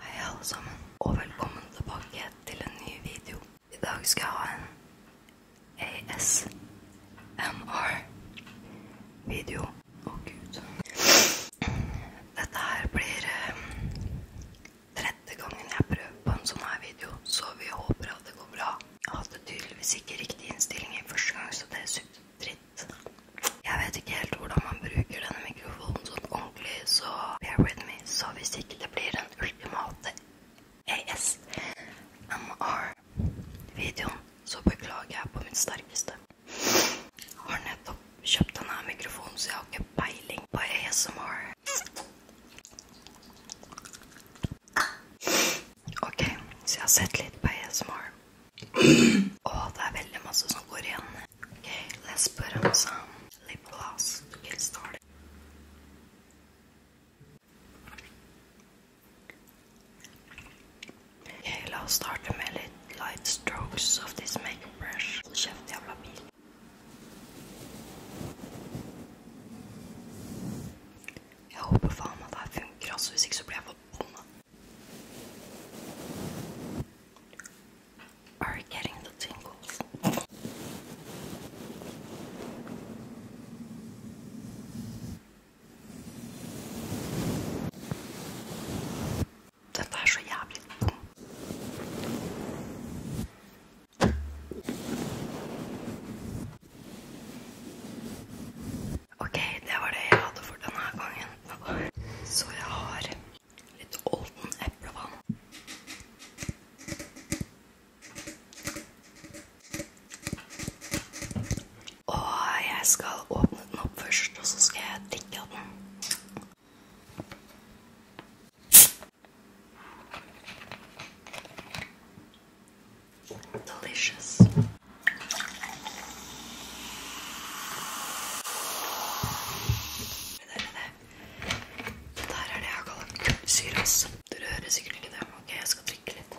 Hei alle sammen, og velkommen tilbake til en ny video. I dag skal jeg ha en ASMR-video. Å, oh, gud. Dette her blir um, tredje gangen jeg prøver på en sånn her video, så vi håper at det går bra. Jeg hadde tydeligvis ikke riktig innstilling i første gang, så det sugde dritt. Jeg vet ikke helt hvordan man bruker denne mikrofonen sånn ordentlig, så bear with me. Så hvis ikke det blir den ultimate ASMR-videoen, så beklager jeg på mitt sterkeste. Jeg har nettopp kjøpt denne mikrofonen, så jeg har ikke peiling på ASMR. OK, så jeg har sett litt på ASMR. Og det er veldig masse som går igjen. OK, Lesperanza, lipgloss, du kan starte. OK, la oss starte med litt light strokes of this makeup brush. Kjeft jævla bil. Jeg håper faen at det her funker, altså. Hvis ikke så blir jeg forbanna. Are you getting the tingles? Dette er så jævlig dum. Ok, det var det jeg hadde for denne gangen. Så jeg har litt Olden eplevann. Og jeg skal åpne den opp først, og så skal jeg drikke av den. Delicious. Det, det, det. Dette her er det jeg kaller kullsyras. Dere hører sikkert ikke det. Ok, jeg skal drikke litt.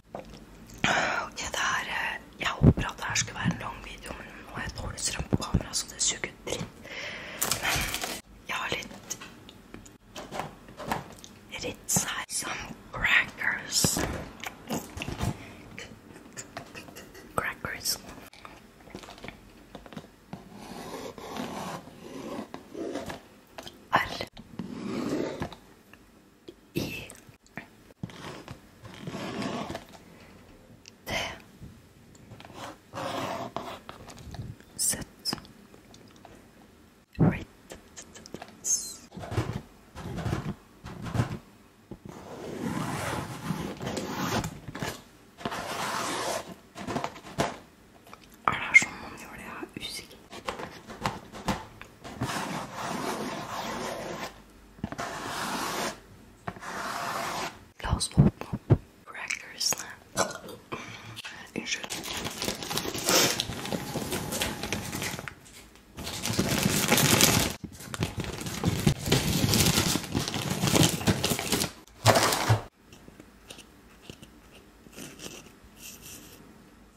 Ok, det her eh, Jeg håper at det her skulle være en lang video, men nå har jeg dårlig strøm på kamera, så det suger dritt. Men jeg har litt Ritz her. Some crackers. Crackers. R. I T 17 Right er det sånn man gjør det? Jeg er usikker. La oss åpne opp crackersene. Unnskyld.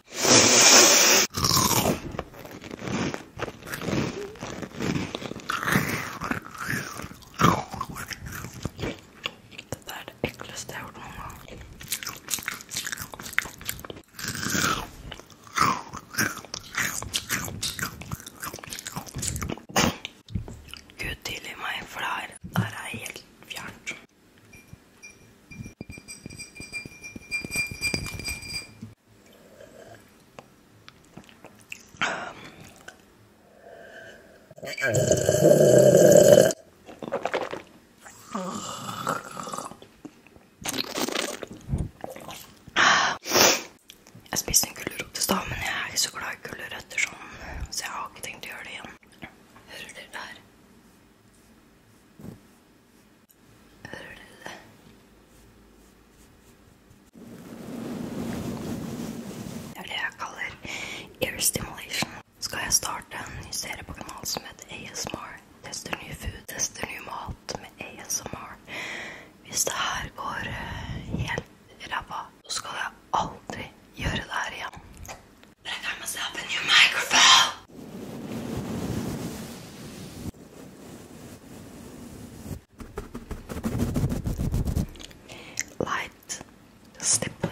Dette er det ekleste jeg har gjort noen gang. Gud tilgi meg, for det her, det her er helt fjernt. Jeg spiste en gulrot i stad, men jeg er ikke så glad i gulrøtter sånn, så jeg har ikke tenkt å gjøre det igjen. Hører dere der? Hører dere det? Det er det jeg kaller ear stimulation. Skal jeg starte en ny serie på kanalen som heter ASMR? Tester ny food, tester ny mat med ASMR. Hvis det her går eh, helt ræva, så skal jeg aldri gjøre det her igjen. But I got myself a new microphone. Light stippling.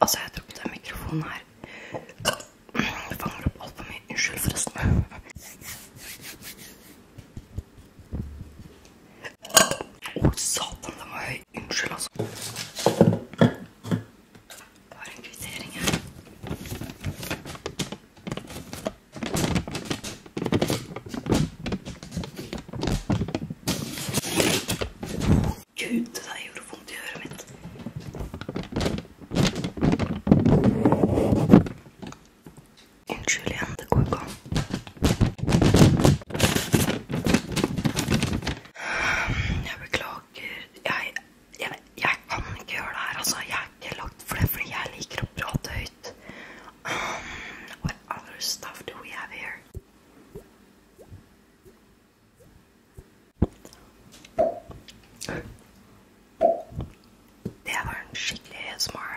Altså, jeg tror ikke den mikrofonen her jeg fanger opp altfor mye. Unnskyld, forresten. Å, oh, satan, den var høy. Unnskyld, altså. Jeg har en kvittering her. Gud, det der gjorde vondt i øret mitt. Unnskyld igjen, det går ikke an. Jeg beklager. Jeg, jeg, jeg kan ikke gjøre det her, altså. Jeg er ikke lagd for det fordi jeg liker å prate høyt. Um, what other stuff do we have here? They have a shitty ASMR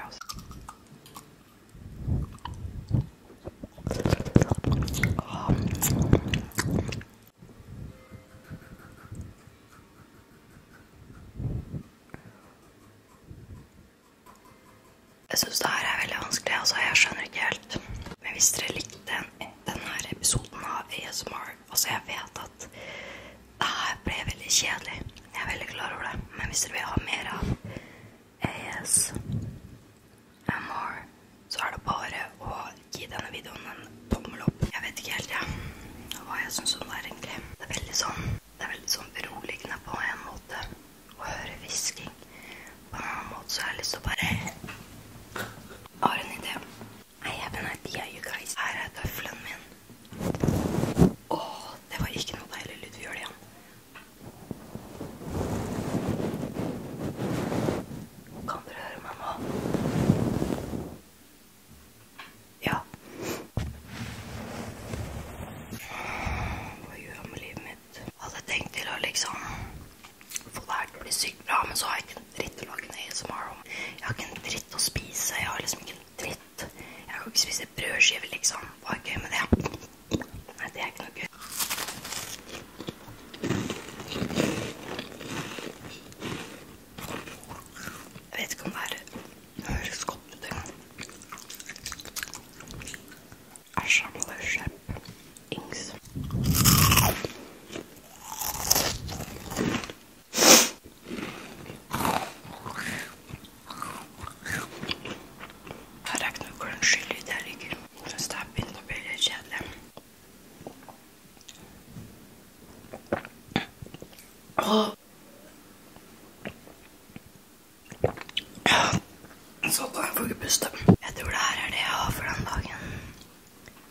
Jeg syns det her er veldig vanskelig. altså Jeg skjønner ikke helt. Men hvis dere likte denne episoden av ASMR Altså, jeg vet at det her ble veldig kjedelig. Jeg er veldig klar over det. Men hvis dere vil ha mer av ASMR, så er det bare å gi denne videoen en tommel opp. Jeg vet ikke helt, jeg, ja. hva jeg syns om det er, egentlig. Det er veldig sånn det er veldig sånn beroligende på en måte å høre hvisking. På en annen måte så har jeg lyst til å bare Har en idé. I have an idea, you guys. Her er tøffelen min. Å, det var ikke noe deilig lyd. Vi gjør det igjen. Kan dere høre meg nå? Ja. Hva gjør jeg med livet mitt? Hadde tenkt til å liksom få det her til å bli sykt bra, men så har jeg ikke en dritt å lage en ASMR om. Jeg har ikke en dritt å spise. Jeg har liksom ikke en dritt. Jeg kan ikke spise brødskiver, liksom. Hva er gøy med det? Nei, det er ikke noe gøy. Jeg vet ikke om det er Høres godt ut, det. Æsj, Amalie, slipp. Ings. Her er ikke noe hvordan skyld i det jeg ligger. Jeg syns det her begynner å bli litt kjedelig. Åh, Sånn, da får ikke puste. Jeg tror det her er det jeg har for den dagen.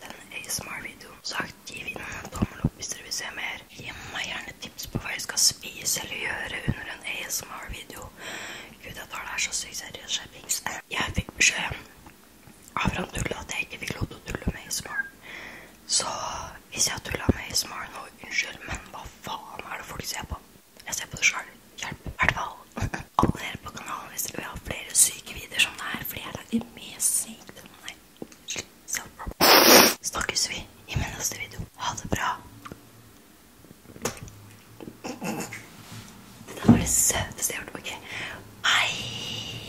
Den ASMR-videoen. Sagt, gi videoen en tommel opp hvis dere vil se mer. Gi meg gjerne tips på hva jeg skal spise eller gjøre under en ASMR-video. Gud, jeg tar det her så sykt seriøst. Skjerpings. Jeg fikk beskjed av Randulla at jeg ikke fikk lov til å tulle med ASMR. Så hvis jeg tulla med ASMR nå, unnskyld, men hva faen er det folk ser på? Jeg ser på det sjøl. Hjelp. I hvert fall. Abonner på kanalen hvis dere vil ha flere syke videoer som det her, fordi jeg lager mye sykt. Nei, self Snakkes vi i min neste video. Ha det bra. Det der var det søteste jeg har hørt. Ok. Hei!